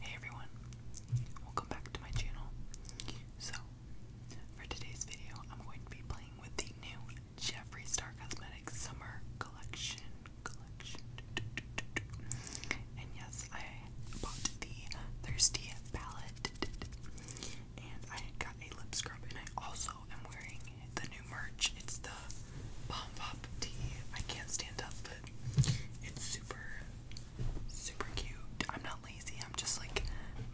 Hey everyone, welcome back to my channel. So, for today's video, I'm going to be playing with the new Jeffree Star Cosmetics Summer Collection. Collection. And yes, I bought the Thirsty Palette. And I got a lip scrub, and I also am wearing the new merch. It's the Bomb Pop Tea. I can't stand up, but it's super super cute. I'm not lazy. I'm just like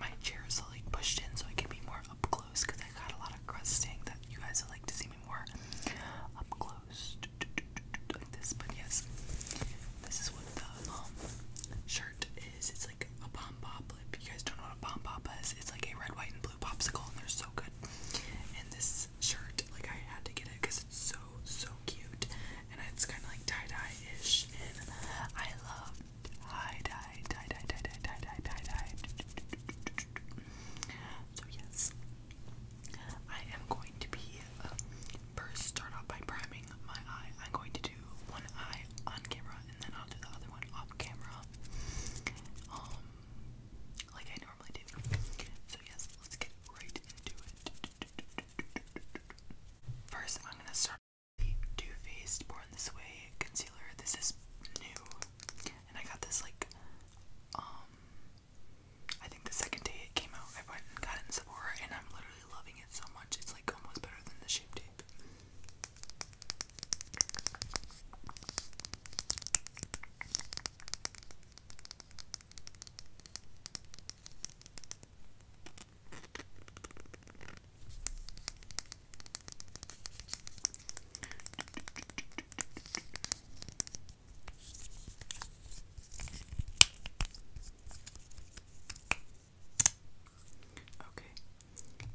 my chair is like pushed in so I can be more up close because I got a lot of crusting that you guys would like to see me more up close like this. But yes, this is what the um, shirt is. It's like a pom pop. If you guys don't know what a pom pop is, it's like a red, white, and blue popsicle, and they're so good. And this this shirt. Like I had to get it because it's so so cute, and it's kind of like tie dye ish, and I love tie dye, tie dye, tie dye, tie dye, tie dye. So yes, I am going to be uh, first start off by priming my eye. I'm going to do one eye on camera, and then I'll do the other one off camera. Um, like I normally do. So yes, let's get right into it. First, I'm gonna start with Too Faced Born This Way concealer. This is new, and I got this like, um, I think the second day it came out. I went and got it in Sephora, and I'm literally loving it so much. It's like almost better than the Shape Tape. Okay,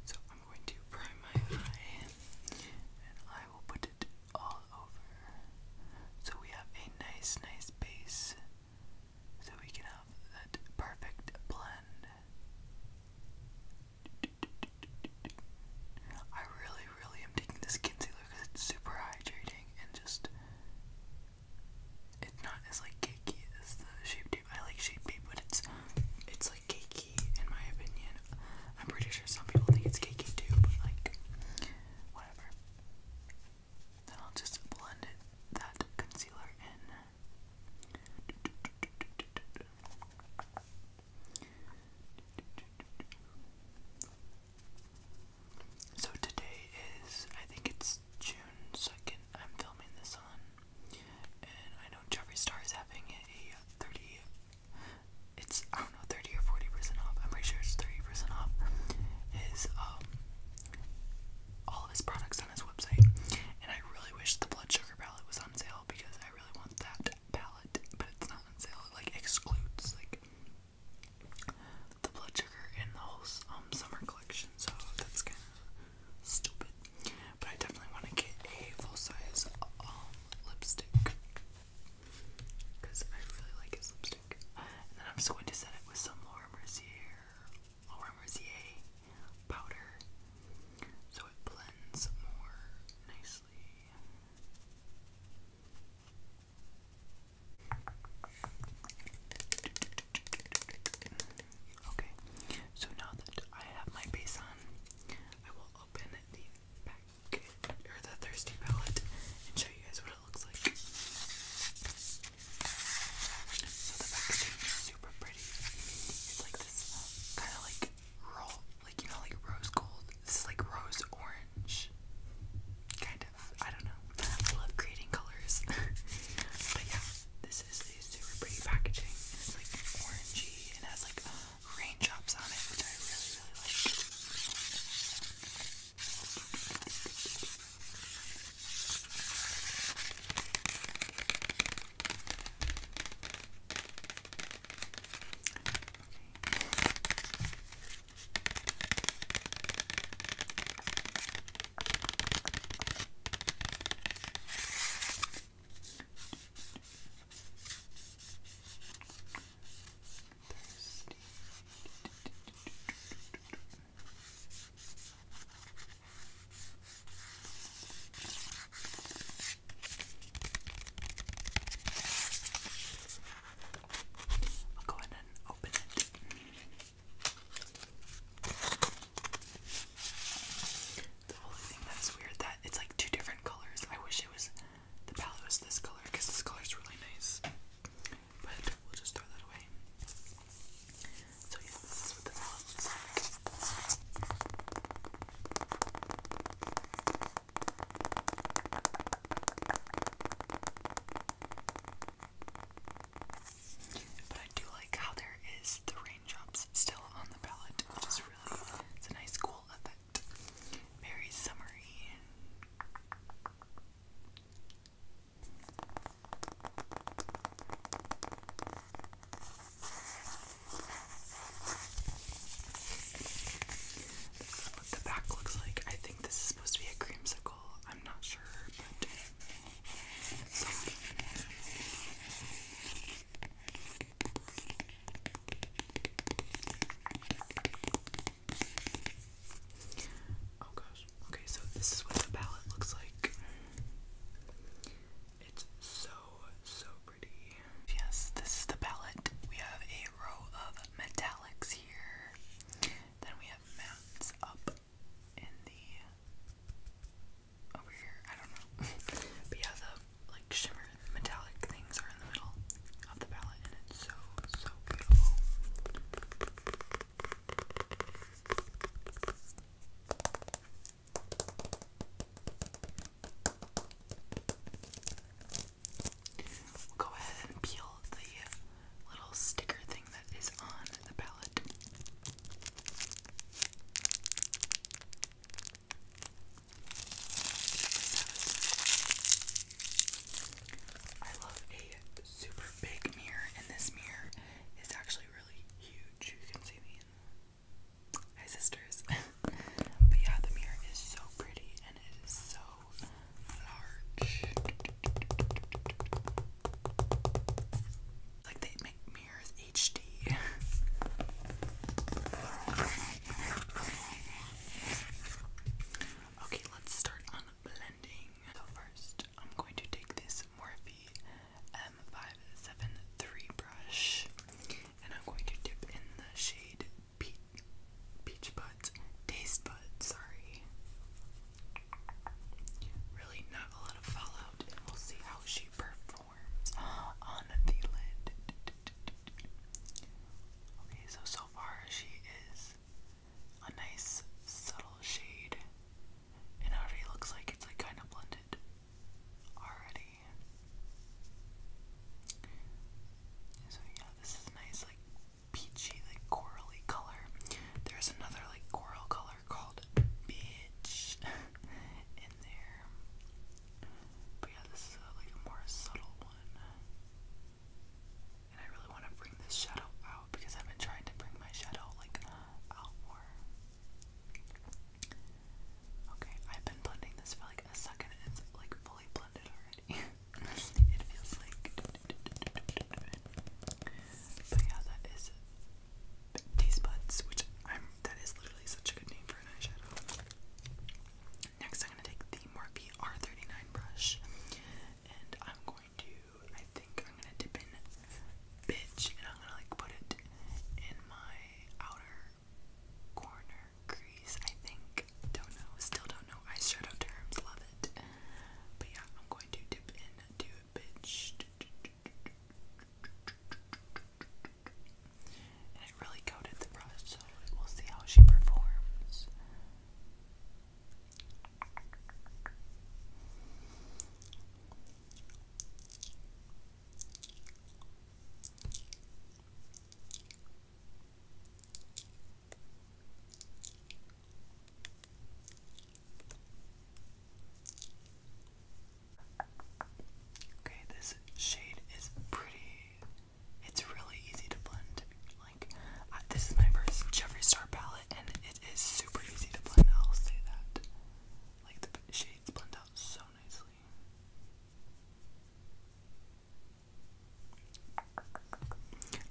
so I'm going to prime my eye and I will put it all over. So we have a nice, nice base. So we can have that perfect blend. I really, really am taking this concealer because it's super hydrating and just it's not as like cakey as the shape tape. I like shape tape, but it's it's like cakey in my opinion. I'm pretty sure some people think it's cakey too, but like whatever. Then I'll just blend that concealer in. So today is, I think it's June 2nd, I'm filming this on. And I know Jeffree Star is having a 30 it's I don't know 30 or 40 percent off. I'm pretty sure it's 30 percent off. His um all his products on his website, and I really wish the blood sugar palette was on sale because I really want that palette, but it's not on sale. It like excludes like the blood sugar in the whole um summer collection, so that's kind of stupid. But I definitely want to get a full size um lipstick because I really like his lipstick. And then I'm just going to set it with some Laura Mercier, Laura Mercier powder, so it blends more nicely. Okay, so now that I have my base on, I will open the pack or the Thirsty palette and show you guys what it looks like. So the packaging is super pretty. It's like this kind of like roll, like you know, like rose gold. This is like rose orange, kind of. I don't know. I love creating colors, but yeah, this is a super pretty packaging. it's like orangey and has like. Um, raindrops on it, which I really, really like. I'll go in and open it. The only thing that's weird that it's like two different colors. I wish it was the palette is this color because this color is really nice. But we'll just throw that away. So, yeah, this is what the palette looks But I do like how there is the raindrops still on the palette, which is really it's a nice cool effect. Very summery. This is what the back looks like. I think this is supposed to be a creamsicle. I'm not sure, but Oh gosh. Okay, so this is what the palette looks like. It's so, so pretty. Yes, this is the palette. We have a row of metallics here. Then we have mattes up in the over here. I don't know. but yeah, the like shimmer metallic things are in the middle of the palette and it's so so beautiful. go ahead and peel the little sticker thing that is on the palette. I love a super big mirror, and this mirror is actually really huge. You can see me in sisters. but yeah, the mirror is so pretty and it is so large. Like they make mirrors HD. Okay, let's start on blending. So first, I'm going to take this Morphe M573 brush, and I'm going to dip in the shade Peach, Peach Buds, Taste Buds, sorry. Really not a lot of fallout, and we'll see how she performs on the lid. Okay, so so far she is a nice subtle shade, and already looks like it's like kind of blended already. So yeah, this is nice like peachy like corally color. There's another like coral color called bitch in there. But yeah, this is a, like a more subtle one. And I really want to bring this shadow out because I've been trying to bring my shadow like out more. Okay, I've been blending this for like a second and it's like fully blended already. it feels like But yeah, that is Taste Buds, which I'm that is literally such a good name for an eyeshadow. Next, I'm going to take the Morphe R39 brush, and I'm going to, I think I'm going to dip in Bitch, and I'm going to, like, put it in my outer corner crease, I think. Don't know, still don't know eyeshadow terms, love it. But yeah, I'm going to dip in, do Bitch. And it really coated the brush, so we'll see how she performs. Okay, this shade is pretty. It's really easy to blend. Like, this is my first Jeffree Star palette, and it is super easy to blend. I'll say that. Like, the shades blend out so nicely.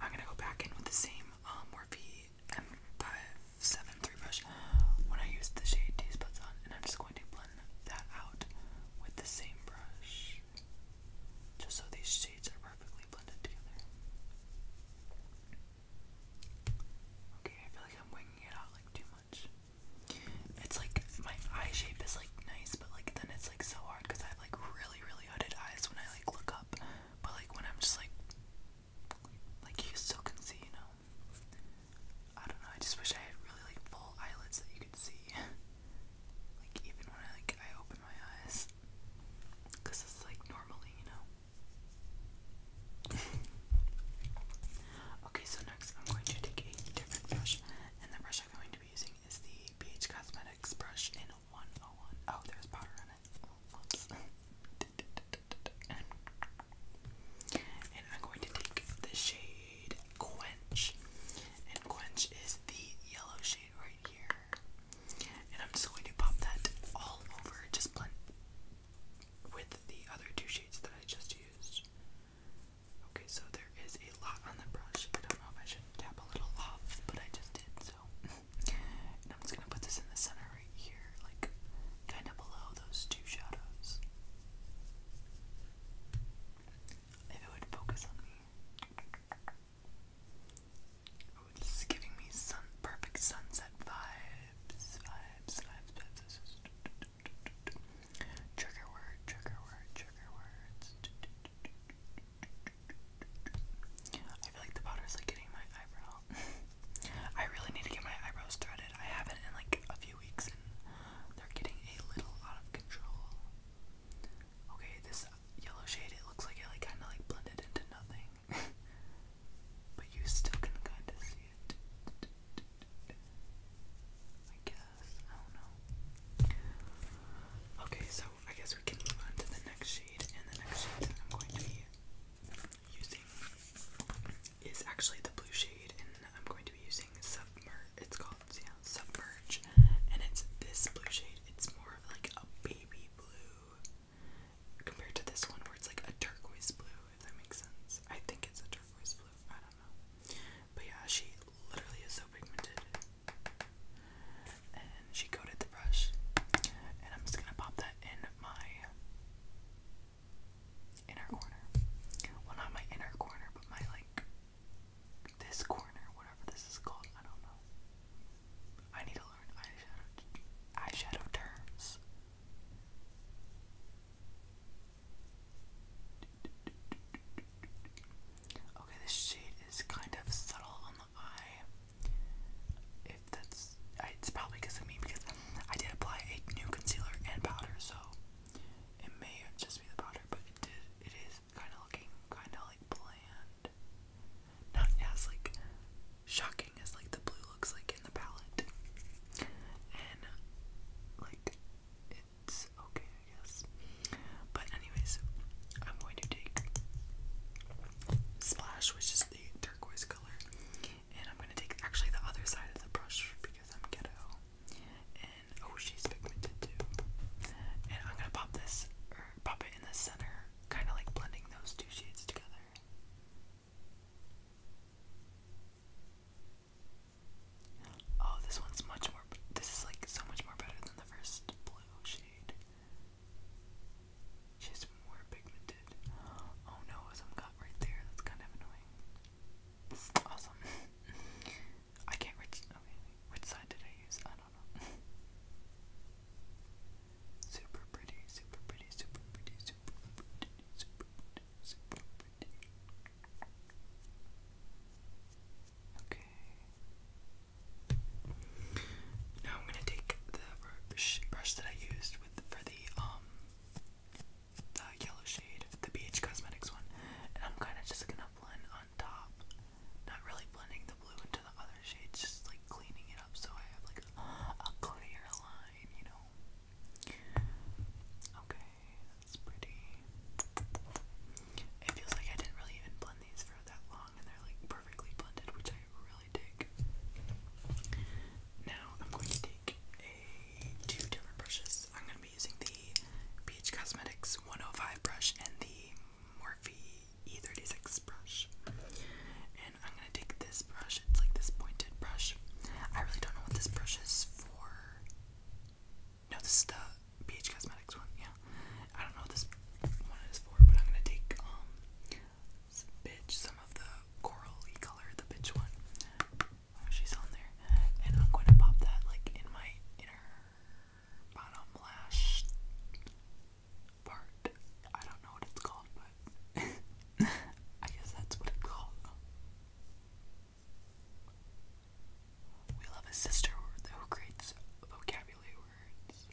I'm gonna go back in with the same um, Morphe M573 brush when I use the shade Taste and I'm just going to that out with the same brush, just so these shades are perfectly blended together. Okay, I feel like I'm winging it out like too much. It's like my eye shape is like nice, but like then it's like so hard because I have like really, really hooded eyes when I like look up. But like when I'm just like, like you still can see, you know. I don't know, I just wish I had really like full eyelids that you could see. like even when I like I open my eyes. Cause it's like normally, you know. okay, so next I'm going to take a different brush and the brush I'm going to be using is the BH Cosmetics brush in 101. Oh, there's powder on it. And I'm going to take the shade Quench. And Quench is the yellow shade right here. And I'm just going to pop that all over, just blend with the other two shades that I just used. Okay, so there is a lot on the brush. I don't know if I should tap a little off, but I just did, so. I'm just gonna put this in the center right here, like kind of below those two shadows. If it would focus on me. Oh, it's giving me sun perfect sunset vibes. Vibes, vibes, vibes. Trigger word, trigger word, trigger words. I feel like the powder's like getting my eyebrow. I really need to get my eyebrows threaded. I haven't in like a few weeks they're getting a little out of control. Okay, this yellow shade, it looks like it like kinda like blended into nothing. but you still can kinda see it. I guess. I don't know. Okay, so I guess we can move on to the next shade, and the next shade I'm going to be using is actually the blue shade, and I'm going to be using Submerge. It's called yeah, Submerge, and it's this blue shade. It's more of like a baby blue compared to this one where it's like a turquoise blue, if that makes sense. I think it's a turquoise blue. I don't know. But yeah, she literally is so pigmented. And she coated the brush. And I'm just gonna pop that in my inner corner. Well, not my inner corner, but my like this corner, whatever this is called. I don't know. I need to learn eyeshadow eyeshadow terms. Okay, this shade is kind of subtle on the eye. If that's, it's probably because of me because I did apply a new concealer and powder, so it may just be the powder, but it did, it is kind of looking kind of like bland. Not as like shocking as like the blue looks like in the palette. And like it's okay, I guess. But anyways, I'm going to take Splash, which is the turquoise color, and I'm gonna take actually the other side of the brush because I'm ghetto. And oh, she's pigmented too. And I'm gonna pop this pop it in the center, kind of like blending those two shades together. Oh, this one's much more. This is like so much more better than the first blue shade. She's more pigmented. Oh no, some got right there. That's kind of annoying awesome. I can't reach. Okay, which side did I use? I don't know. super pretty, super pretty, super pretty, super pretty, super pretty, super pretty. Okay. Now I'm gonna take the brush that I used with for the um the yellow shade, the BH Cosmetics one, and I'm kind of just gonna blend on top, not really blending the blue into the other shades, just like cleaning it up so I have like a, a clear line, you know. Okay, that's pretty. It feels like I didn't really even blend these for that long, and they're like perfectly blended, which I really dig. Now I'm going to take two different brushes. I'm going to be using the Beach Cosmetics 105 brush and the Morphe E36 brush. And I'm going to take this brush, it's like this pointed brush. I really don't know what this brush is for. No, this is the Beach Cosmetics one, yeah. I don't know what this one is for, but I'm going to take um, bitch, some of the corally color, the bitch one. she's on there. And I'm going to pop that like in my inner bottom lash part. I don't know what it's called, but I guess that's what it's called. We love a sister who creates vocabulary words.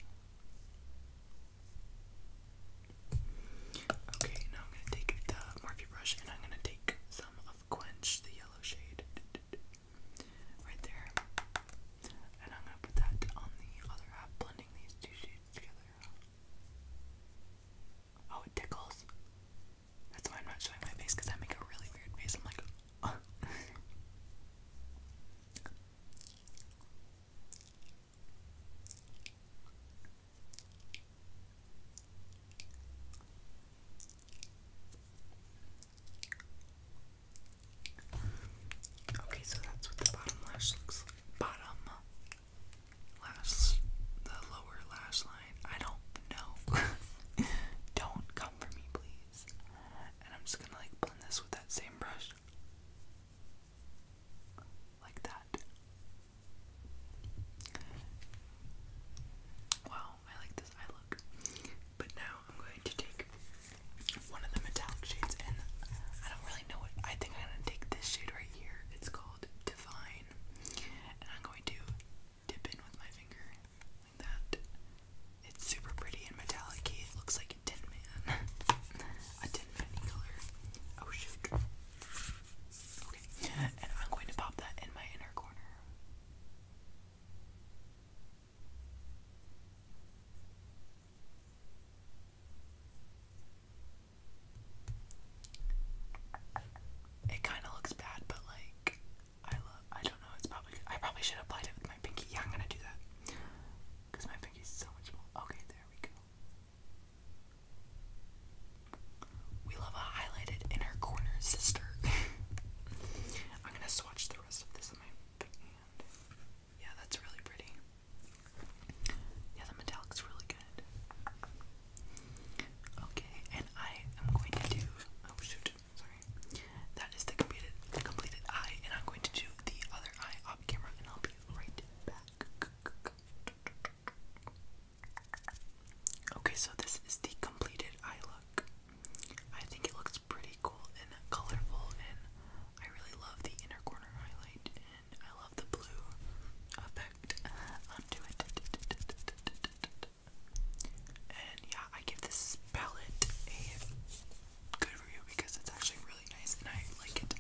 Okay, now I'm gonna take the Morphe brush and I'm gonna take some of Quench, the yellow shade, right there. And I'm gonna put that on the other half, blending these two shades together. Oh, it tickles. That's why I'm not showing my face because I make a really weird face. I'm like, Okay, so that's what the bottom lash looks Bottom lash, the lower lash line. I don't know. don't come for me, please. And I'm just gonna like blend this with that same brush like that. Wow, I like this eye look. But now I'm going to take one of the metallic shades, and I don't really know what. I think I'm going to take this shade right here. It's called Divine. And I'm going to dip in with my finger like that. It's super pretty and metallic It looks like a tin man. a tin man color. Oh shoot. Okay, and I'm going to pop that in my inner corner. It kind of looks bad, but like I love. I don't know. It's probably. I probably should have it with my pinky. Yeah, I'm gonna do that because my pinky's so much Okay, there we go. We love a highlighted inner corner sister. I'm gonna swatch the rest of this in my hand. Yeah, that's really pretty. Yeah, the metallic's really good. Okay, and I am going to do. Oh shoot, sorry. That is the completed, completed eye, and I'm going to do the other eye off camera, and I'll be right back. Okay, so this is the completed eye look. I think it looks pretty cool and colorful, and I really love the inner corner highlight, and I love the blue effect And yeah, I give this palette a good review because it's actually really really nice and I like it.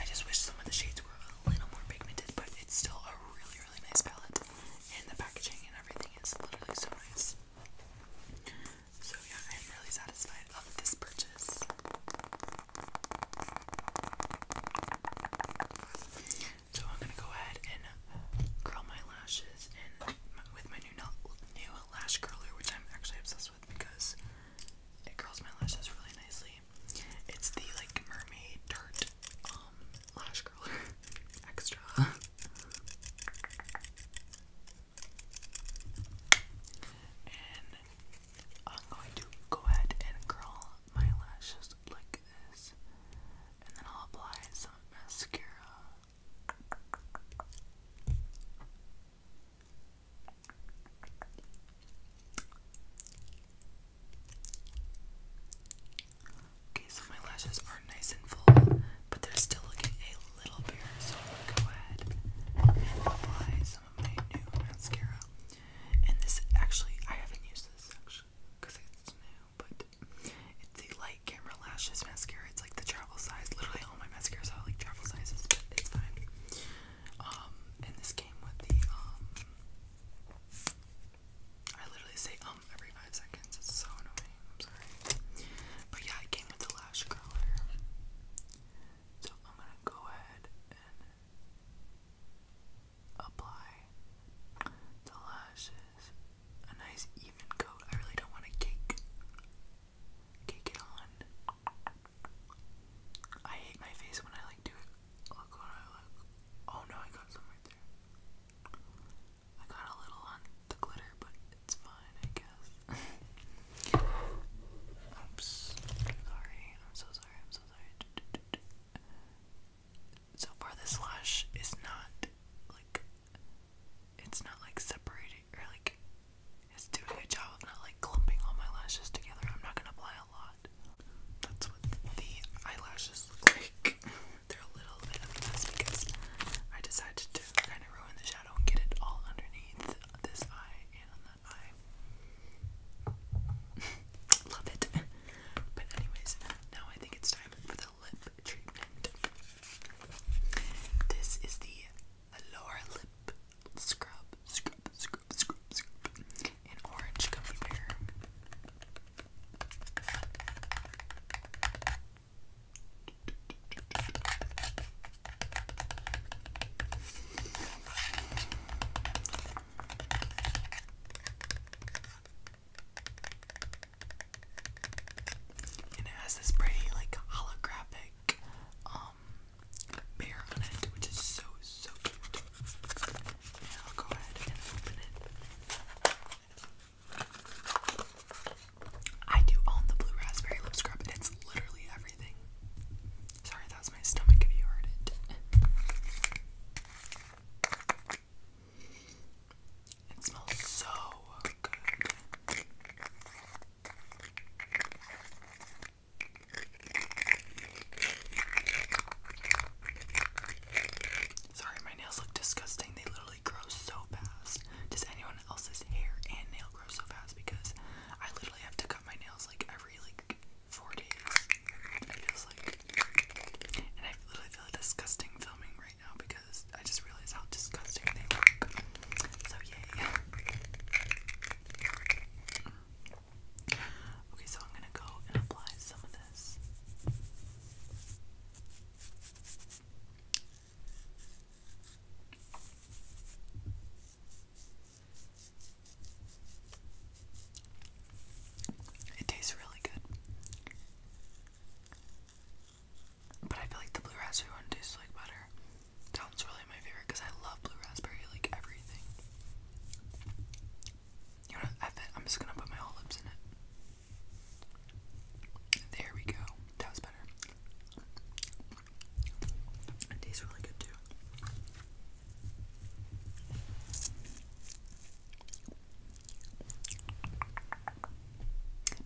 I just wish some of the shades were a little more pigmented, but it's still a really, really nice palette. And the packaging and everything is literally so nice. So yeah, I am really satisfied of this purchase. So I'm gonna go ahead and curl my lashes with my new, new lash curler, which I'm actually obsessed with because it curls my lashes really nicely. It's the like mermaid tart um lash curler extra. and I'm going to go ahead and curl my lashes like this. And then I'll apply some mascara. Okay, so my lashes are nice and full, but they're still looking a little bare, so I'm gonna go ahead and apply some of my new mascara. And this actually, I haven't used this actually because it's new, but it's the Light Camera Lashes mascara. It's like the travel size. Literally, all my mascaras are like travel sizes, but it's fine. Um, and this came with the um I literally say um every five seconds. It's so annoying. I'm sorry. But yeah, it came with the lash curler. So I'm gonna go ahead and apply the lashes. A nice even coat. I really don't want to cake cake it on. I hate my face when I like do it. Oh no, I got some right there. I got a little on the glitter, but it's fine, I guess. Oops. Sorry. I'm so sorry. I'm so sorry. So far, this lash is not like. It's not like separating or like is doing a job of not like clumping all my lashes together. I'm not gonna apply a lot. That's what the eyelashes look like. They're a little bit of mess because I decided to kind of ruin the shadow and get it all underneath this eye and on that eye. Love it. But anyways, now I think it's time for the lip treatment. This is the lower lip scrub, scrub, scrub scoop, An orange gummy bear. And it has this pretty like holographic um bear on it, which is so, so cute. I'll go ahead and open it. I do own the Blue Raspberry Lip Scrub, it's literally everything. Sorry, that was my stomach if you heard it. It smells so good. Sorry, my nails look disgusting. They literally grow so fast. Does anyone else's hair and nail grow so fast? Because I literally have to cut my nails like every like four days. It feels like, and I literally feel disgusting filming right now because I just realized how disgusting they look. So yay. Okay, so I'm gonna go and apply some of this. It tastes really good. But I feel like the blue raspberry one tastes like butter. Tom's really my favorite because I love blue raspberry, like everything. You know, I bet I'm just gonna put my whole lips in it. There we go. That was better. It tastes really good too.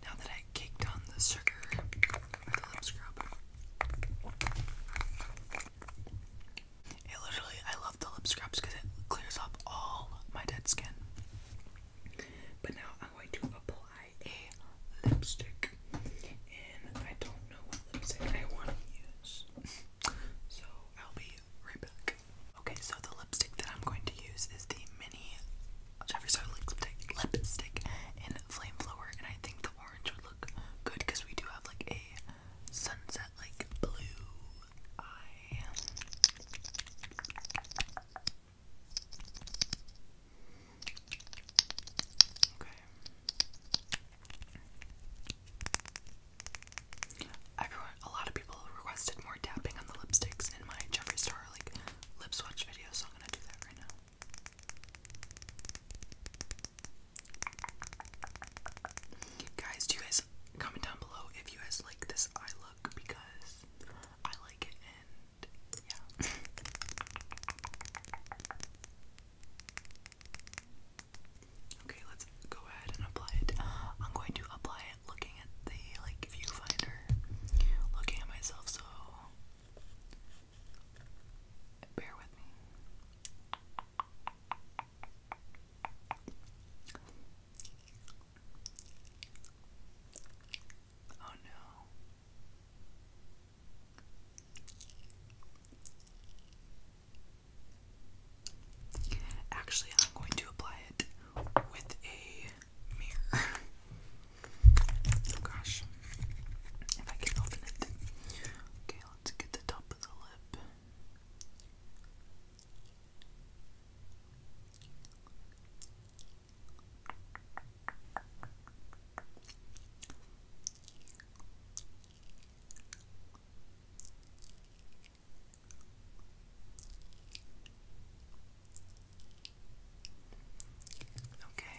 Now that I caked on the sugar with literally, I love the lip scrubs because it clears up all my dead skin. But now I'm going to apply a lipstick, and I don't know what lipstick I want to use, so I'll be right back. Okay, so the lipstick that I'm going to use is the mini Jeffree Star lipstick, lipstick in Flame Flower, and I think the Everyone, a lot of people requested more tapping on the lipsticks in my Jeffree Star like lip swatch video, so I'm gonna do that right now. Guys, do you guys comment down below if you guys like this eye look because I like it and yeah. okay, let's go ahead and apply it. I'm going to apply it looking at the like viewfinder, looking at myself so Bear with me. Oh no. Actually, I'm going to apply it with a mirror. Oh gosh. If I can open it. Okay, let's get the top of the lip. Okay,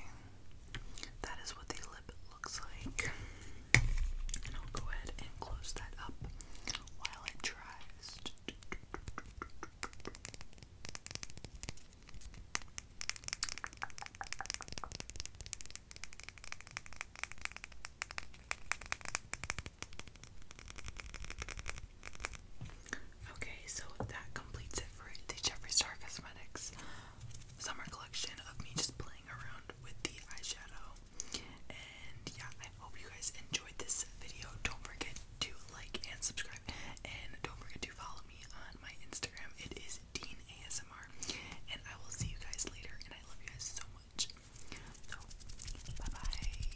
that is what the lip looks like. I'll go ahead and close that up while it dries. Okay, so that completes it for the Jeffree Star Cosmetics summer collection of me just playing around with the eyeshadow. And yeah, I hope you guys enjoyed this video. Don't forget to like and subscribe, and don't forget to follow me on my Instagram. It is Dean ASMR, and I will see you guys later. And I love you guys so much. So, bye bye.